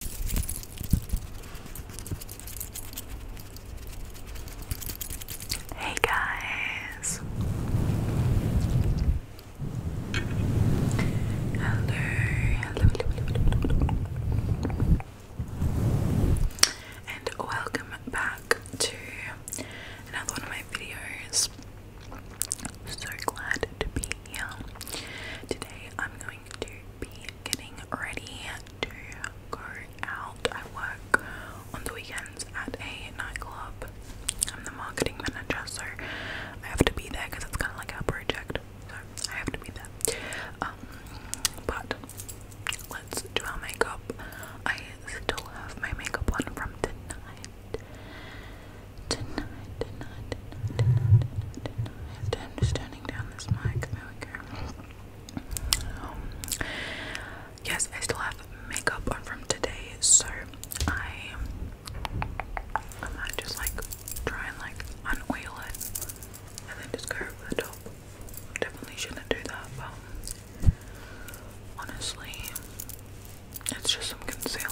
Hey guys. Hello. Hello, hello, hello. And welcome back to another one of my videos. So glad to be here. Today I'm going to be getting ready to go out. I work on the weekends at a nightclub. I'm the marketing manager, I have to be there because it's kind of like a project. So I have to be there. Um, but let's do our makeup. I still have my makeup on from tonight. Tonight, tonight, tonight, tonight, tonight, tonight. I um, yes, I still have makeup on from today, so I I might just like try and like unoil it and then just go over the top. Definitely shouldn't do that, but honestly, it's just some concealer.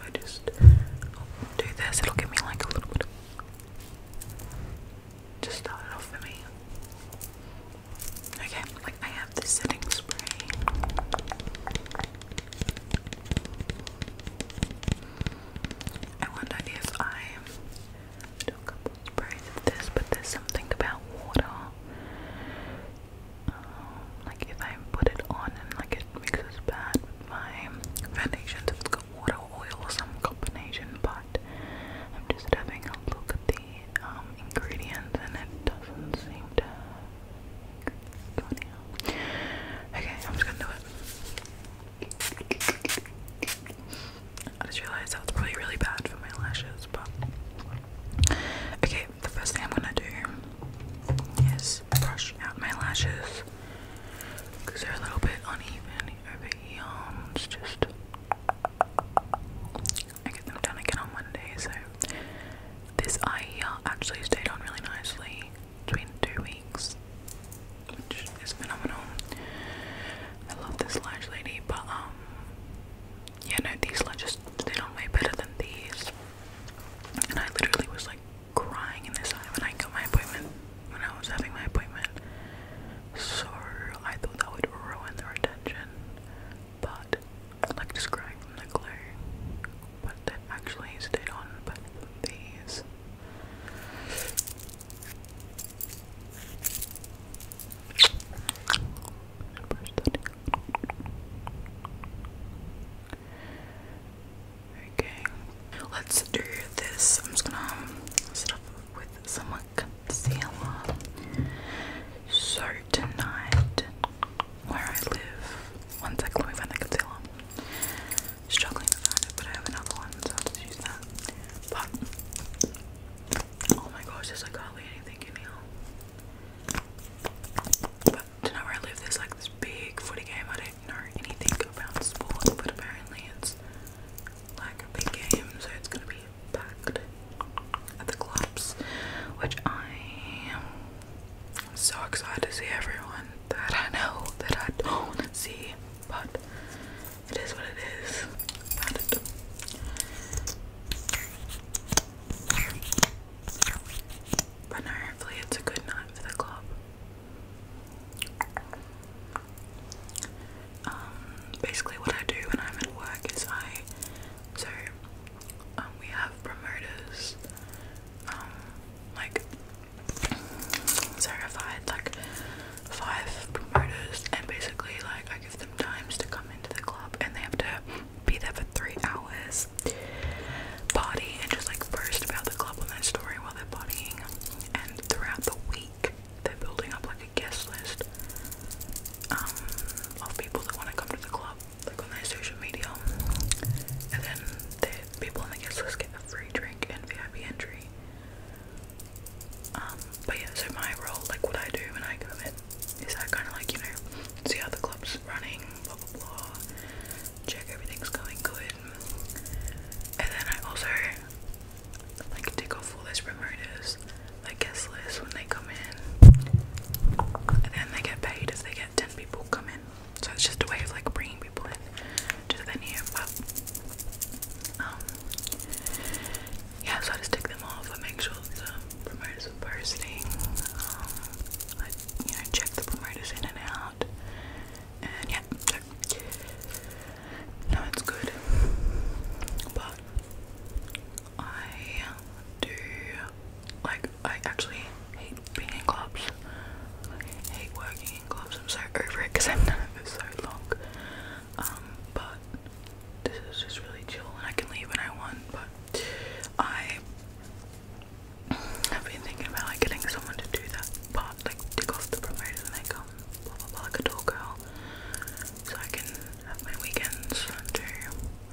If I just do this, it'll give me like a little bit Just start it off for me. Okay, like I have the setting spray. I wonder if I do a couple sprays of this, but there's something about water. Um, like if I put it on and like it mixes bad my foundations. It's got water, oil, some combination, but I'm just having a look at the um, ingredients and it doesn't seem to go down. Okay, I'm just gonna do it. I just realized that it's probably really bad for my lashes, but okay, the first thing I'm gonna do is brush out my lashes because they're a little bit uneven over the arms. Um, just I get them done again on Monday. So this eye uh, actually stayed on really nicely between two weeks, which is phenomenal. I love this large lady, but um, yeah, no, these just stayed on way better than these, and I literally was like crying in this eye when I got my appointment, when I was having my appointment. So I thought that would ruin their attention, but like just crying from the glare. But that actually stayed on both these. Brush that Okay, let's do this. I'm just gonna um, start with some concealer. So tonight, where I live, one second let find the concealer. Struggling to find but I have another one, so I'll just use that. oh my gosh, there's like hardly anything in here did not relive this like this big footy game. I do not know anything about sports, but apparently it's like a big game, so it's gonna be packed at the clubs, which I am so excited to see everyone that I know that I don't see, but it is what it is. But hopefully it's a good night for the club. Um, basically what I do when I'm at work is I, so um, we have promoters, um, like, so like five promoters and basically like I give them times to come into the club and they have to be there for three hours, party, and just like boast about the club and their story while they're partying. And throughout the week, they're building up like a guest list um, of people that want to come to the club, like on their social media. And then the people on the guest list get a free drink and VIP entry. Um, but yeah, so my role, like what I do when I go in, is I kind of like, you know, see how the club's running, Check everything's going good. And then I also like tick off all those promoters, like guest list when they come in. And then they get paid if they get ten people come in. So it's just a way of like bringing people in to the venue. But um, yeah, so I just tick them off. I make sure the promoters are posting. Um, you know, check the promoters in and out. And yeah, no, it's good. But I do like I actually hate being in clubs. I hate working in clubs. I'm so over it because I've done it for so long. Um, but this is just really chill and I can leave when I want. But I I've been thinking about like getting someone to do that but like take off the promoters and like um like a tall girl. So I can have my weekends and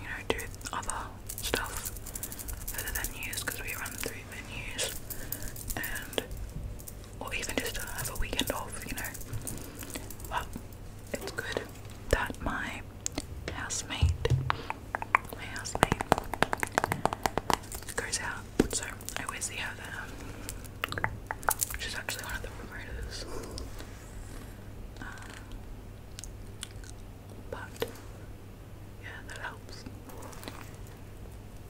you know, do other stuff for the venues because we run through venues and or even just to have a weekend off, you know. But it's good that my housemate. My housemate goes out, so I always see her there. She's actually one of the promoters. Um, but yeah, that helps.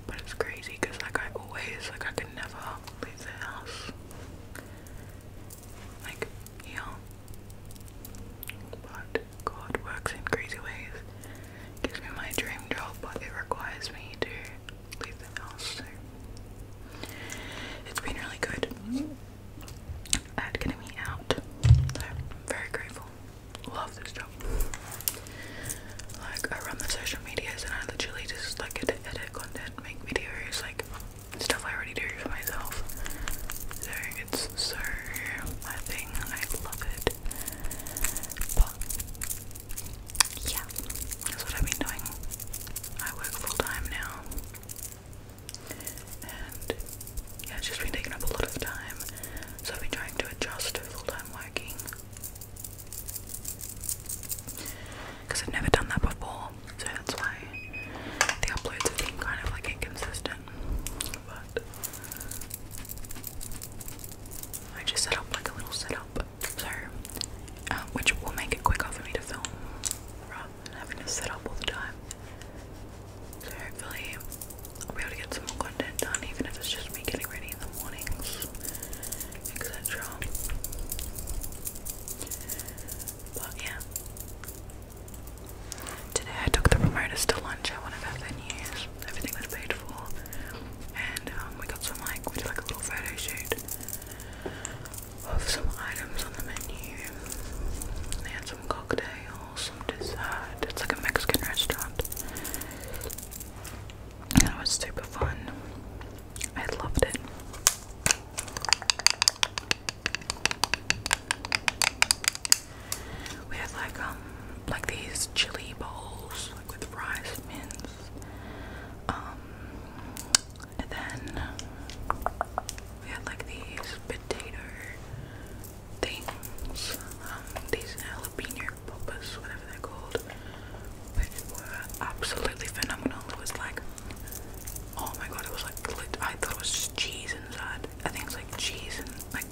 But it's crazy because like I always like I can never leave the house like heal. But God works in crazy ways. Gives me my dream job, but it requires me to leave the house. So it's been really good at getting me out. So I'm very grateful. Love this job. Like I run the social medias and I literally just like edit, edit content, make videos, like stuff I already do for myself. So it's so my thing, I love it. But yeah, that's what I've been doing. I work full time now. And yeah, it's just been taking up a lot of time. So I've been trying to adjust to full time working. Because I've never done that before, so that's why the uploads have been kind of like inconsistent but I just set up like a little setup, so uh, which will make it quicker for me to film rather than having to set up all the time. So hopefully I'll be able to get some more content done, even if it's just me getting ready in the mornings, etc. But yeah. Today I took the promoters to lunch at one of our venues. Everything was paid for. And um, we got some like, we did like a little photo shoot of some items on the menu. They had some cocktails, some dessert. It's like a Mexican restaurant. it was super fun. I loved it. We had like um like these chili bowls like with rice mince. Um and then we had like these potato things. Um these jalapeno poppers, whatever they're called. Which were absolutely phenomenal. It was like Oh my god, it was like I thought it was cheese inside. I think it's like cheese and like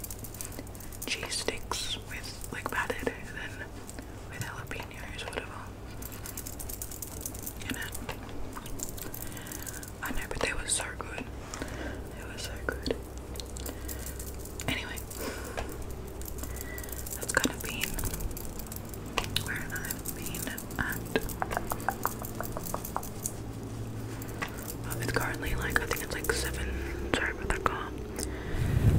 cheese sticks with like patted and then with jalapenos or whatever. You know? I know, but they were so good. They were so good. Anyway, that's kind of been um, it's currently like I think it's like seven. Sorry about that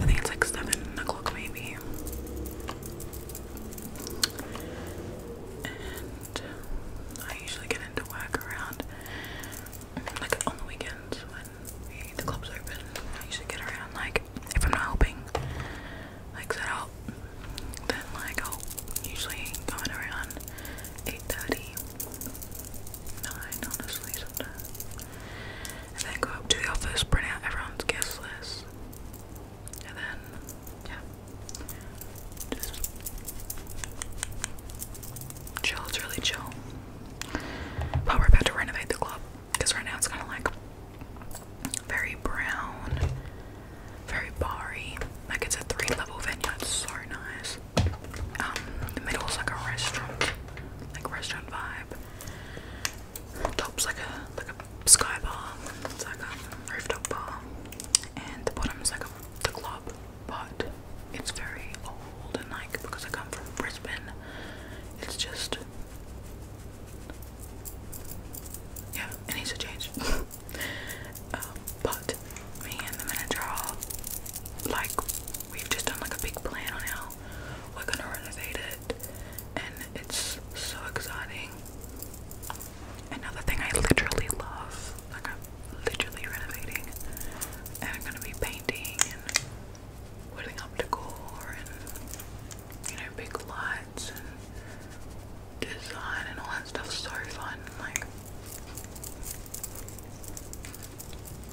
I think it's like seven o'clock maybe. And um, I usually get into work around like on the weekends when the club's open. I usually get around like if I'm not helping like set Then like i oh, usually go around 8.30, honestly And then go up to the office, print out everyone's guest list. And then, yeah, just chill, it's really chill. But we're about to renovate the club because right now it's kind of like very brown very barry, Like it's a three-level venue. It's so nice. Um, the middle is like a restaurant, like restaurant vibe. Top's like a like a sky bar. It's like a rooftop bar, and the bottom is like a club, but it's very old and like because I come from Brisbane, it's just. Yeah, it needs to change. Um, but me and the manager are like, we've just done like a big plan on how we're gonna renovate it, and it's so exciting. Another thing I literally love, like I'm literally renovating, and I'm gonna be painting and putting up decor and you know big lights design and all that stuff is so fun. Like,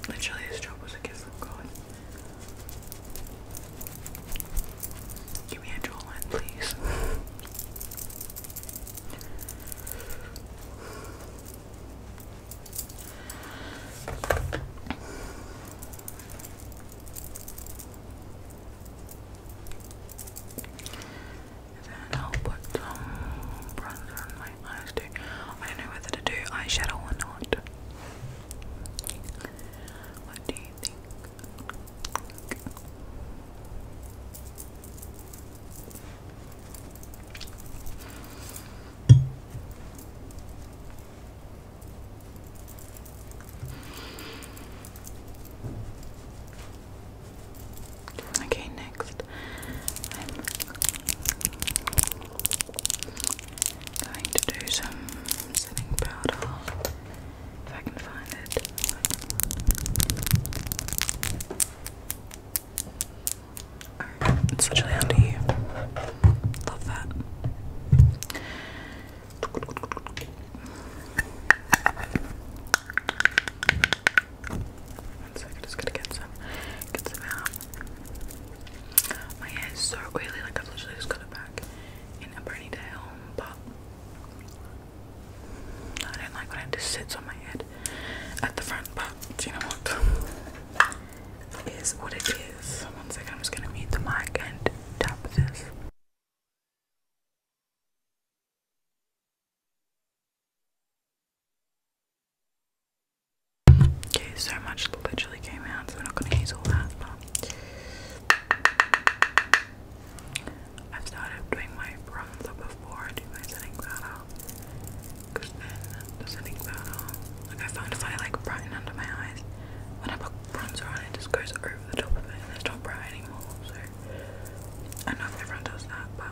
literally, this job was a gift from God. Give me a jawline, please. I'll put some bronzer on my eyes too. I don't know whether to do eyeshadow or not. What do you think? Okay, next I'm going to do some setting powder if I can find it. it's literally under you. Love that. One second, just gonna get some, get some out. My hair is so oily, like I've literally just got it back in a ponytail, but I don't like when it just sits on my head at the front, but do you know what? It is what it is. One second, I'm just gonna mute the mic and tap this. Okay, so much literally came out, so we're not going to use all that. I've started doing my bronzer before do my setting powder, because then the setting powder, like I found if I like brighten under my eyes, when I put bronzer on, it just goes over over the top of it and there's not bright anymore, so I know everyone does that, but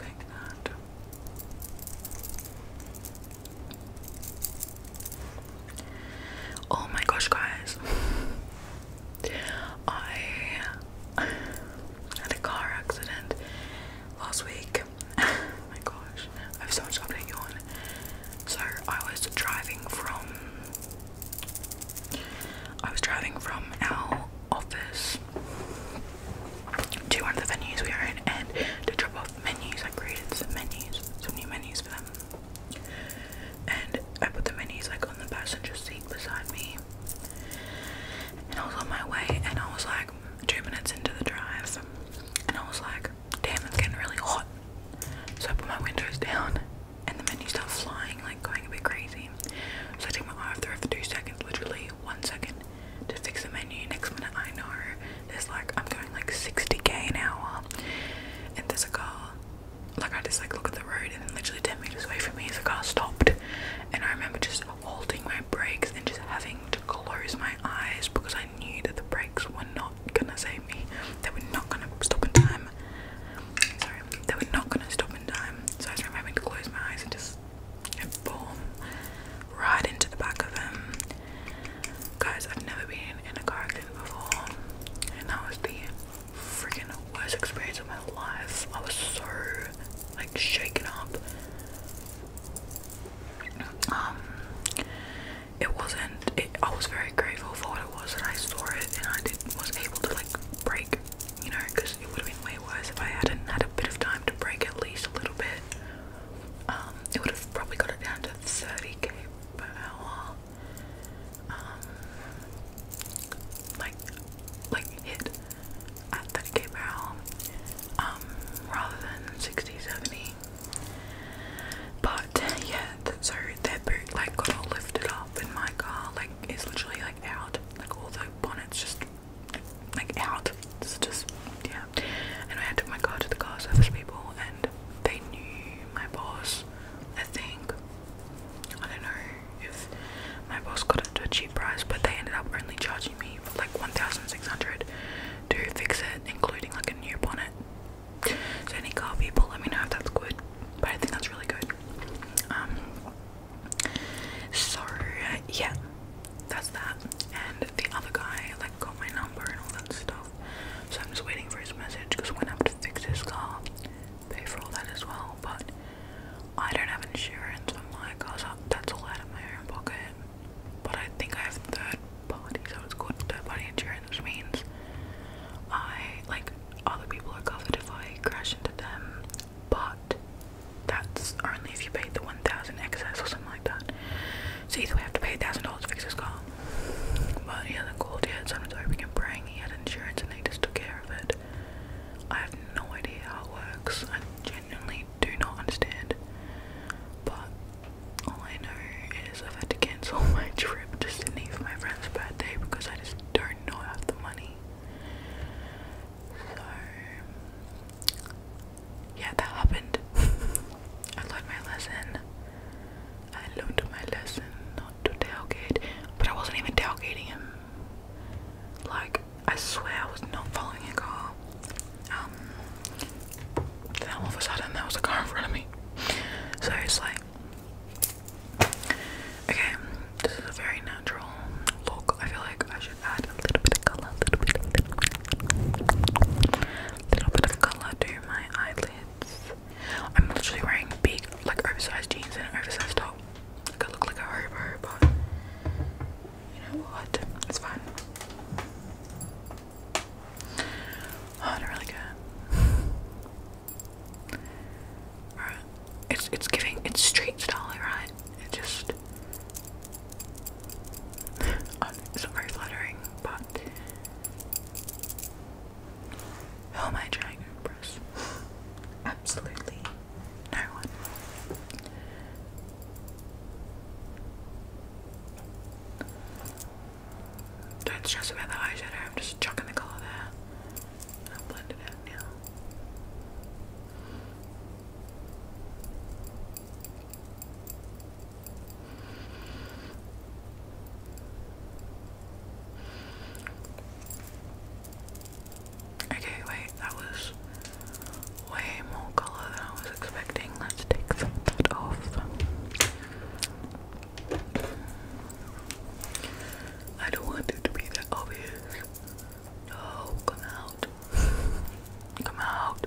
like that. Oh my gosh, guys. I had a car accident last week. Oh my gosh, I have so much update you So I was driving from I was driving from our office to one of the venues we are in to drop off menus. I created some menus, some new menus for them. And I put the menus like on the passenger seat beside me. And I was on my way, and I was like two minutes into the drive, and I was like, damn, it's getting really hot. So I put my windows down, and the menu started flying, like going a bit crazy. So I take my eye off the road for two seconds, literally one second, to fix the menu. Next minute, I know there's like, I'm going like 60k an hour, and there's a car like I just like look at the road and then literally 10 meters away from me is a car stopped and I remember just holding my brakes and just having to close my eyes because I knew that the brakes were not gonna save me. They were not gonna stop in time. Sorry, they were not gonna stop in time. So I remember having to close my eyes and just boom right into the back of them. Guys, I've never been in a car accident before and that was the freaking worst experience of my life. I was so like shaken up. Um, it wasn't. I was very grateful for what it was that I stored it, and I was able to like break, you know, because it would have been way worse if I hadn't had a bit of time to break at least a little bit. Um, it would have probably got it down to 30k per hour um, like like hit at 30k um rather than 60 70 but yeah that, so that boot like got all lifted up in my car like it's literally like out like all the bonnets just like out it's just yeah and I had to my car to the car service people and they knew my boss I think I don't know if my boss got it to a cheap price, but they ended up only charging me for like 1,600 to fix it, including like a new bonnet. So any car people, let me know if that's good. But I think that's really good. Um. So yeah, that's that. And the other guy like got my number and all that stuff. So I'm just waiting for his message because when I have to fix his car, pay for all that as well. But I don't have insurance. I'm like, oh, so that's all out of my own pocket. But I think I have third party, so it's called third party insurance, which means I like other people are covered if I crash into them, but that's only if you pay the 1000 excess or something like that. So either we have to pay $1,000 to fix this car. But yeah, the called yet, so I'm just hoping and praying he had insurance and they just took care of it. I have no idea how it works. I genuinely do not understand. But all I know is I've had to cancel my trip to Sydney for my friend's birthday because I just don't know have the money. So yeah, that happened. I learned my lesson. I learned my lesson to tailgate, but I wasn't even tailgating him. Like, I swear I was not following a car. Um, then all of a sudden there was a car in front of me. So okay, this is a very natural look. I feel like I should add a little bit of color, little bit of color to my eyelids. I'm literally wearing big, like oversized jeans and an oversized top. I look like a hobo, but you know what? It's fine. Oh, I do really care. It's it's giving it's street style, right? It just um, it's not very flattering, but who am I Absolutely no one. Don't stress about the eyeshadow, I'm just chucking the colour there. I'll blend it out now. Okay, wait, that was way more colour than I was expecting. Let's take some of off. I don't want it to be that obvious. No, come out. Come out.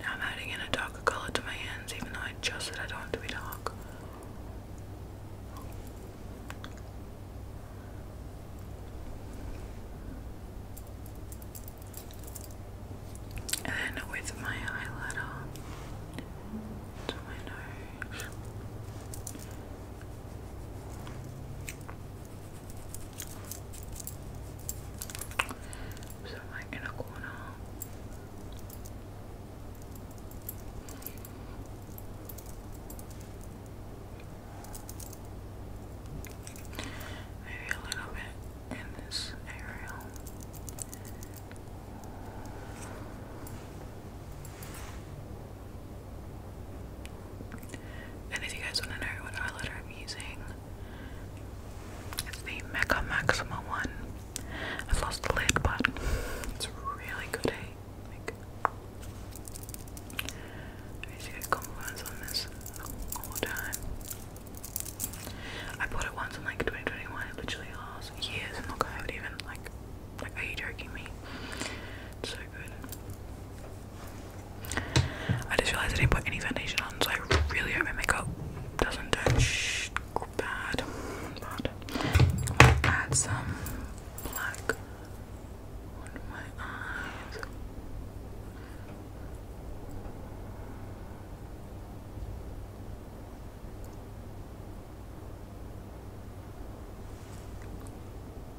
Now I'm adding in a darker color to my hands, even though I just said I don't want to be dark. And then with my highlighter to my nose. So my inner corner. Maybe a little bit in this area. And if you guys want to know what eyeliner I'm using, it's the Mecca Maxima one. I've lost the lid, but it's really good, eh? Like, I used to get on this all the time. I bought it once in like 2021, it literally lasts years and look, I have even, like, like, are you joking me? so good. I just realized I didn't put any foundation on, so I really hope my makeup doesn't turn bad. add some black on my eyes.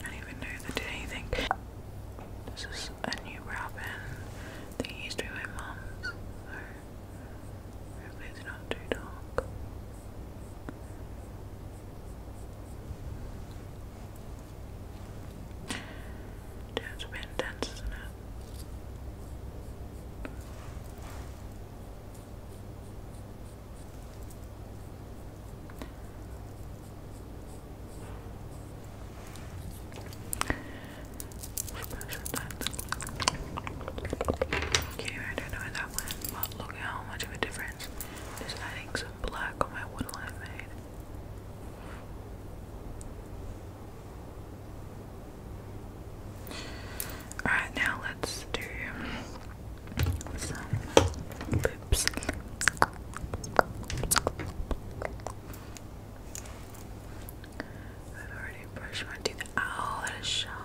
I don't even know if I did anything. This is a new robin that used to be my mum's, hopefully it's not too dark. It's a bit intense, not it? Okay, I don't know that one, but look at how much of a difference just adding some black on my woodline made. Alright, now let's do I've already brushed my teeth. Oh, that is sharp.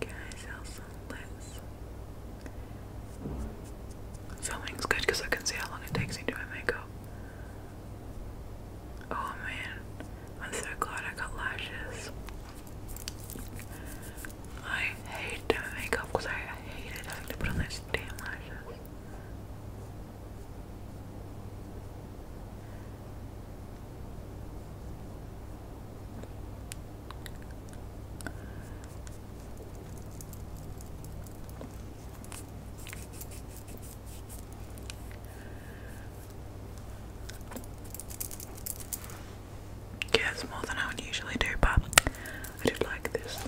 Guys, I sell some lips? Filming's good because I can see how long it takes me to do my makeup. Oh man, I'm so glad I got lashes. I hate doing makeup because I hated having to put on those damn lashes. Yeah, more than I would usually do, but I do like this.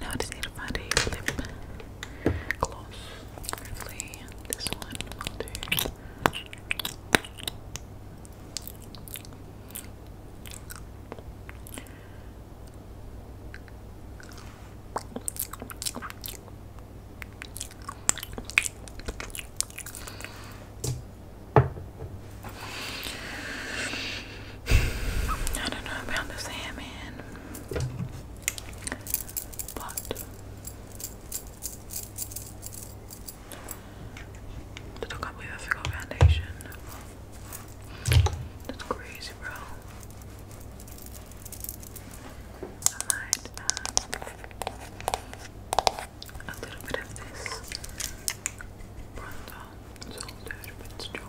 Now I just need to find a lip gloss. this one I don't know about the salmon, but I do not believe I forgot foundation. That's crazy, bro. I might add um, a little bit of this bronzer, it's a little bit stronger.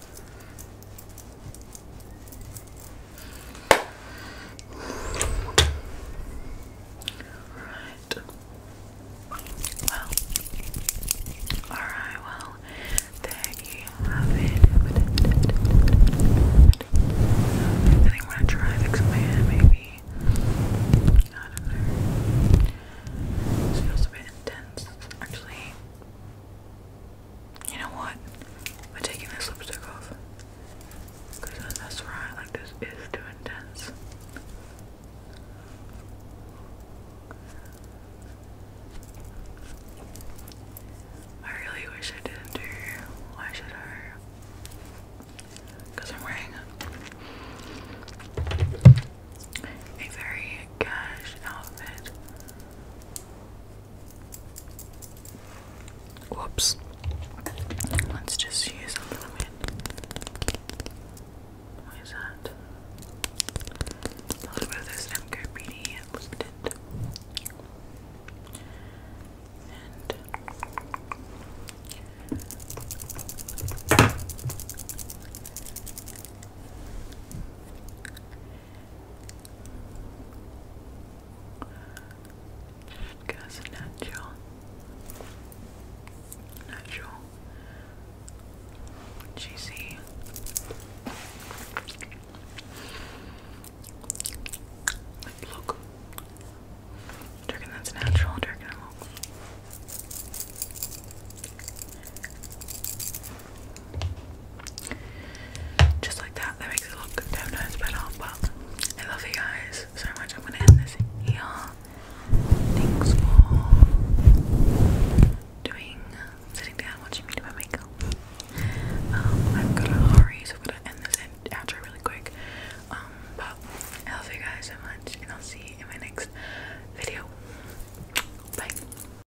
Right. Well. Alright, well, there you have it. I think I'm gonna try and fix maybe. I don't know. feels a bit intense, actually. You know what? I'm taking this lipstick off. Because that's right, like this is too intense. I really wish I didn't do eyeshadow. Because I'm wearing a very cash outfit. Whoops. Let's just use a little bit. What is that? A little bit of this MCO Beauty lip tint. And just goes natural. Natural. Cheesy. Like, look. Turkin, that's natural. Turkin, look. Just like that, that makes it look no nose better. But I love you guys so much. I'm gonna end this here. Thanks for doing sitting down watching me do my makeup. Um, I've got a hurry, so I'm gonna end this outro really quick. Um, but I love you guys so much, and I'll see you in my next video. Bye.